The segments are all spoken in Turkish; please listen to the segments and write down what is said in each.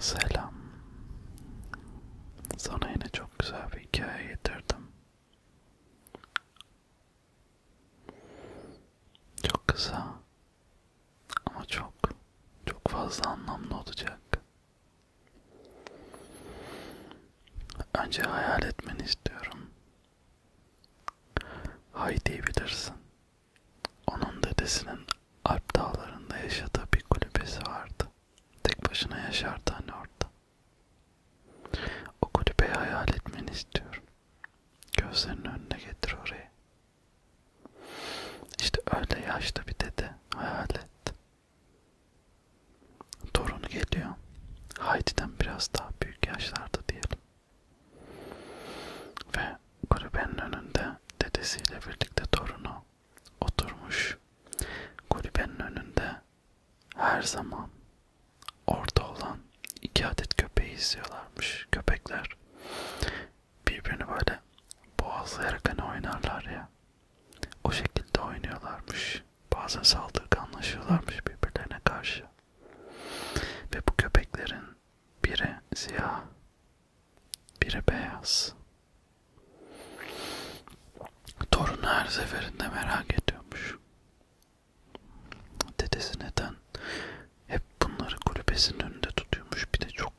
Selam. Sana yine çok güzel bir hikaye getirdim. Çok kısa ama çok çok fazla anlamlı olacak. Önce hayal etmeni istiyorum. Hay diyebilirsin. Onun dedesinin Alp dağlarında yaşadığı bir kulübesi vardı. Tek başına yaşardı hani orada. O kulübeyi hayal etmeni istiyorum. Gözlerinin önüne getir orayı. İşte öyle yaşlı bir dede hayal et. Torunu geliyor. Haydi'den biraz daha büyük yaşlarda diyelim. Ve kulübenin önünde dedesiyle birlikte torunu oturmuş. Kulübenin önünde her zaman orada olan iki adet köpeği izliyorlarmış köpekler. Birbirini böyle boğazlayarak hani oynarlar ya. O şekilde oynuyorlarmış. Bazen saldırganlaşıyorlarmış birbirlerine karşı. Ve bu köpeklerin biri siyah, biri beyaz. Torun her seferinde merak ediyormuş. Dedesi neden hep bunları kulübesinin önünde tutuyormuş. Bir de çok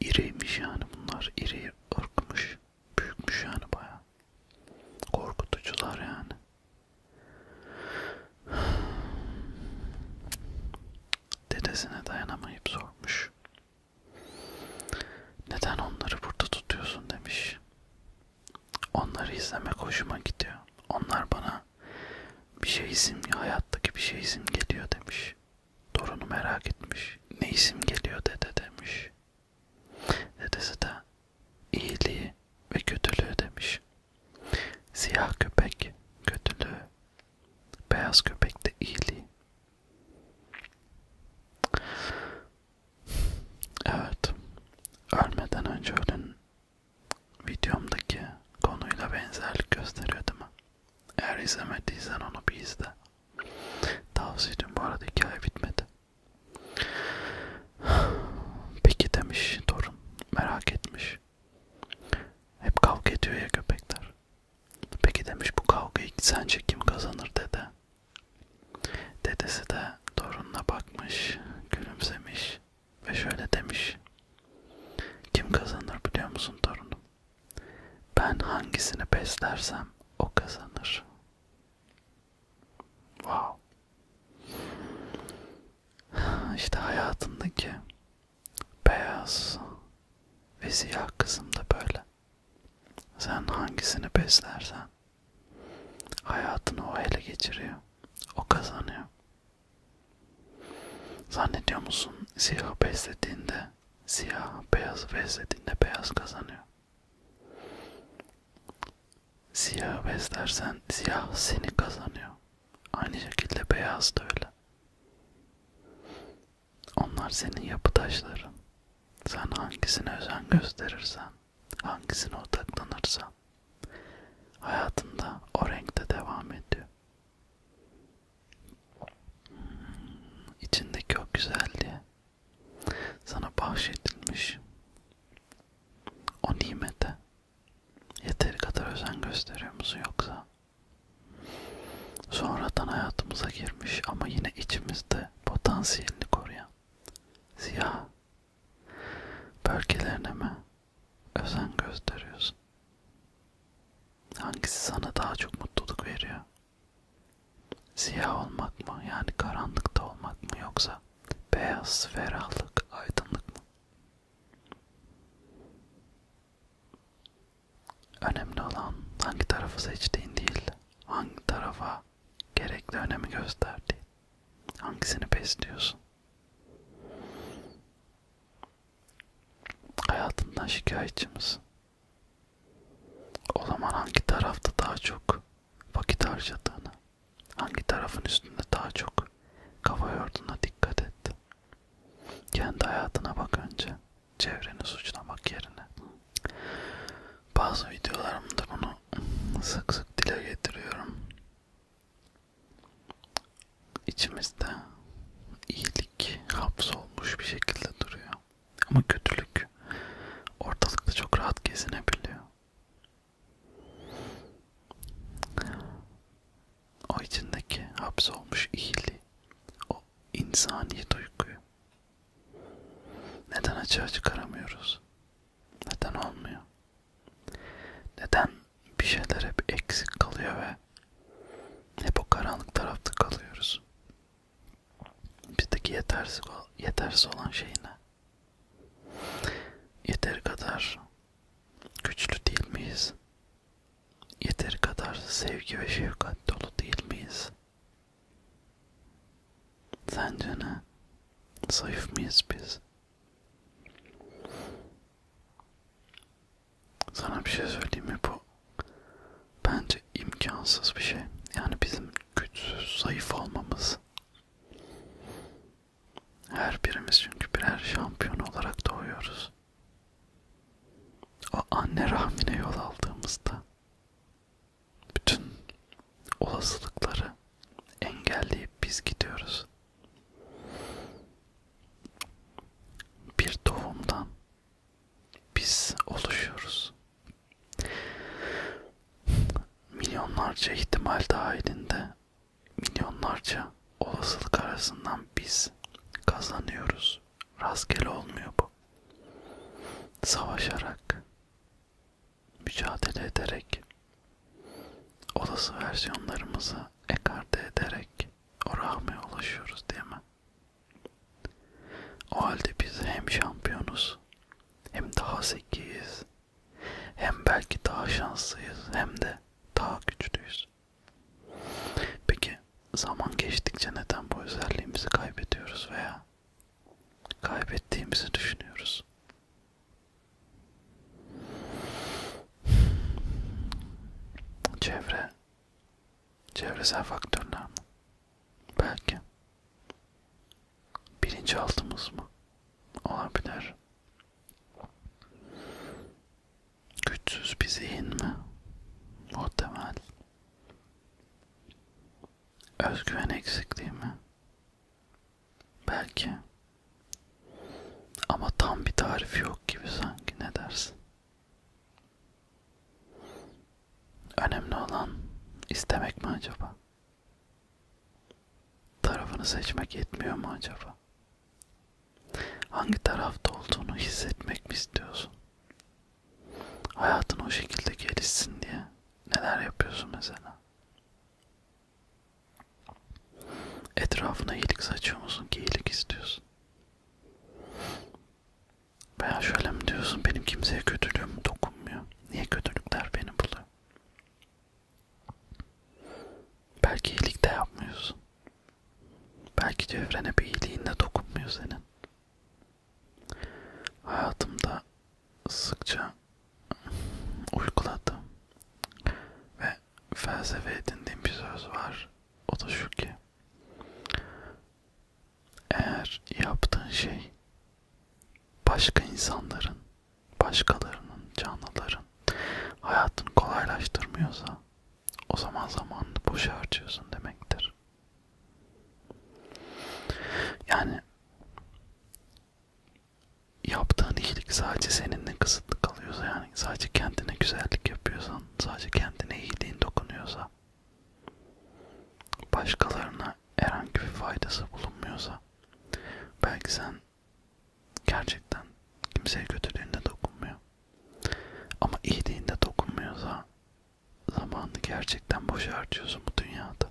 iriymiş yani bunlar. İri ırkmış. Büyükmüş yani baya. Korkutucular yani. Dedesine dayanamayıp sormuş. Neden onları burada tutuyorsun demiş. Onları izlemek hoşuma gidiyor. Onlar bana bir şey simge, hayattaki bir şey simgeliyor demiş. Torunu merak etmiş. Ne isim geliyor dede demiş. Dedesi de iyiliği ve kötülüğü demiş. Siyah köpek kötülüğü, beyaz köpek de iyiliği. Evet, ölmeden önce ölün videomdaki konuyla benzerlik gösteriyor değil mi? Eğer izlemediysen onu bir izle. Tavsiye ediyorum bu arada hikaye bitmedi. Peki demiş torun merak etmiş. Hep kavga ediyor ya köpekler. Peki demiş bu kavgayı sence kim kazanır dede. Dedesi de torununa bakmış, gülümsemiş ve şöyle demiş. Kim kazanır biliyor musun torunum? Ben hangisini beslersem o kazanır. Wow. İşte hayatındaki beyaz ve siyah kısım da böyle. Sen hangisini beslersen hayatını o ele geçiriyor. O kazanıyor. Zannediyor musun siyahı beslediğinde siyah, beyazı beslediğinde beyaz kazanıyor. Siyah beslersen siyah seni kazanıyor. Aynı şekilde beyaz da öyle. Onlar senin yapı taşların. Sen hangisine özen gösterirsen, hangisine odaklanırsan hayatında o renkte devam ediyor. Hmm, içindeki o güzelliğe sana bahşedilmiş o nimete Yeteri kadar özen gösteriyor musun yoksa? Sonradan hayatımıza girmiş ama yine içimizde potansiyelini koruyan siyah bölgelerine mi özen gösteriyorsun? Hangisi sana daha çok mutluluk veriyor? Siyah olmak mı yani karanlıkta olmak mı yoksa beyaz ferahlık aydınlık mı? Önemli olan hangi tarafı seçtiğin değil, hangi tarafa gerekli önemi gösterdiğin, hangisini besliyorsun. Hayatından şikayetçi misin? O zaman hangi tarafta daha çok vakit harcadığını, Hangi tarafın üstünde daha çok kafa yorduğuna dikkat et. Kendi hayatına bak önce. Çevreni suçlamak yerine. Bazı videolarımda bunu sık sık dile getiriyorum. İçimizde iyilik hapsolmuş bir şekilde duruyor. Ama kötülük ortalıkta çok rahat gezinebiliyor. O içindeki hapsolmuş iyiliği, o insani duyguyu neden açığa çıkaramıyoruz? Neden olmuyor? Neden bir şeyler hep eksik kalıyor ve hep o karanlık tarafta kalıyoruz? Bizdeki yetersiz, yetersiz olan şey ne? Yeter kadar güçlü değil miyiz? Yeter kadar sevgi ve şefkat dolu değil miyiz? Sence ne? Zayıf mıyız biz? Sana bir şey söyleyeyim mi bu? Bence imkansız bir şey. Yani bizim güçsüz, zayıf olmamız. Her birimiz çünkü birer şampiyon olarak doğuyoruz. O anne rahmine yol aldığımızda bütün olasılıkları engelleyip biz gidiyoruz. Bir doğumdan biz oluşuyoruz. Milyonlarca ihtimal dahilinde milyonlarca olasılık arasından biz kazanıyoruz. Rastgele olmuyor bu. Savaşarak, mücadele ederek, olası versiyonlarımızı ekarte ederek o rahmeye ulaşıyoruz değil mi? O halde biz hem şampiyonuz hem daha zekiyiz hem belki daha şanslıyız hem de daha güçlüyüz. Peki zaman geçtikçe neden bu özelliğimizi kaybediyoruz veya kaybettiğimizi düşünüyoruz? Çevre, çevresel faktörler mi? Belki bilinçaltımız mı? Olabilir. Güçsüz bir zihin mi? Muhtemel. Özgüven eksikliği mi? Belki. Ama tam bir tarifi yok gibi sanki ne dersin? Önemli olan istemek mi acaba? Tarafını seçmek yetmiyor mu acaba? Hangi tarafta olduğunu hissetmek mi istiyorsun? Hayatın o şekilde gelişsin diye neler yapıyorsun mesela? Etrafına iyilik saçıyor musun ki iyilik istiyorsun? Veya şöyle mi diyorsun benim kimseye kötülüğüm dokunmuyor. Niye kötülükler beni buluyor? Belki iyilik de yapmıyorsun. Belki çevrene bir iyiliğinle dokunmuyor senin. Hayatımda sıkça uyguladım ve felsefe edindiğim bir söz var. O da şu ki eğer yaptığın şey başka insanların, başkalarının, canlıların hayatını kolaylaştırmıyorsa o zaman zamanını boşa harcıyorsun demektir. Yani yaptığın iyilik sadece seninle kısıtlı kalıyorsa yani sadece kendine güzellik yapıyorsan, sadece kendine iyiliğin dokunuyorsa başkalarına herhangi bir faydası bulunmuyorsa belki sen gerçekten kimseye kötülüğünde dokunmuyor ama iyiliğinde dokunmuyorsa zamanını gerçekten boşa harcıyorsun bu dünyada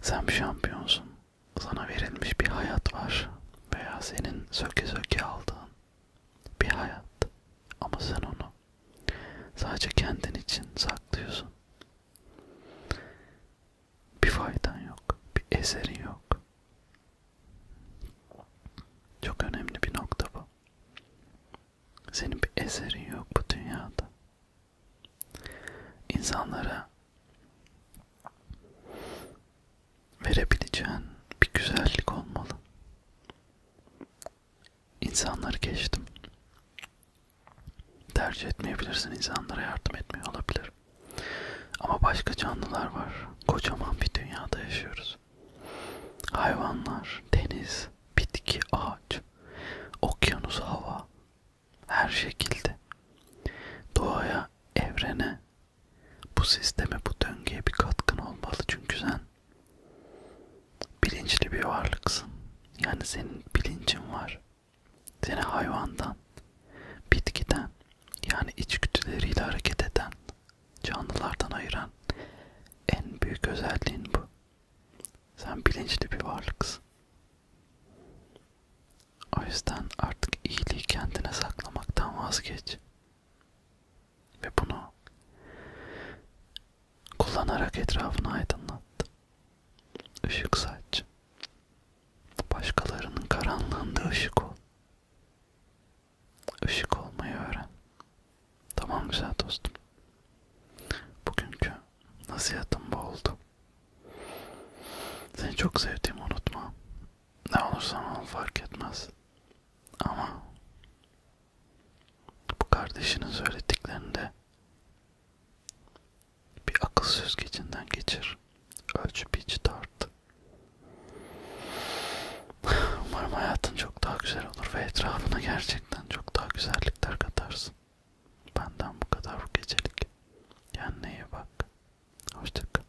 sen bir şampiyonsun sana verilmiş bir hayat var veya senin söke söke aldığın bir hayat ama sen onu Sadece kendin için saklıyorsun. Bir faydan yok, bir eserin yok. Çok önemli bir nokta bu. Senin bir eserin yok bu dünyada. İnsanlara verebileceğin bir güzellik olmalı. İnsanları geçtim. Tercih etmeyebilirsin, insanlara yardım etmiyor olabilir. Ama başka canlılar var. Kocaman bir dünyada yaşıyoruz. Hayvanlar, deniz, bitki, ağaç, okyanus, hava, her şekilde. Doğaya, evrene, bu sisteme, bu döngüye bir katkın olmalı çünkü sen Bilinçli bir varlıksın. Yani senin bilincin var. Seni hayvandan, bitkiden yani içgüdüleriyle hareket eden, canlılardan ayıran en büyük özelliğin bu. Sen bilinçli bir varlıksın. O yüzden artık iyiliği kendine saklamaktan vazgeç ve bunu kullanarak etrafını aydınlattı. Işık saç. Başkalarının karanlığında ışık ol. Işık olmayı öğren. Tamam güzel dostum. Bugünkü nasihatim bu oldu. Seni çok sevdiğimi unutma. Ne olursan ol fark etmez. Ama bu kardeşinin söylediklerini de bir akıl süzgecinden geçir. Ölçüp içi tart. Umarım hayatın çok daha güzel olur ve etrafına gerçekten çok daha güzellikler katarsın. Benden bu kadar bu gecelik. Kendine iyi bak. Hoşçakal.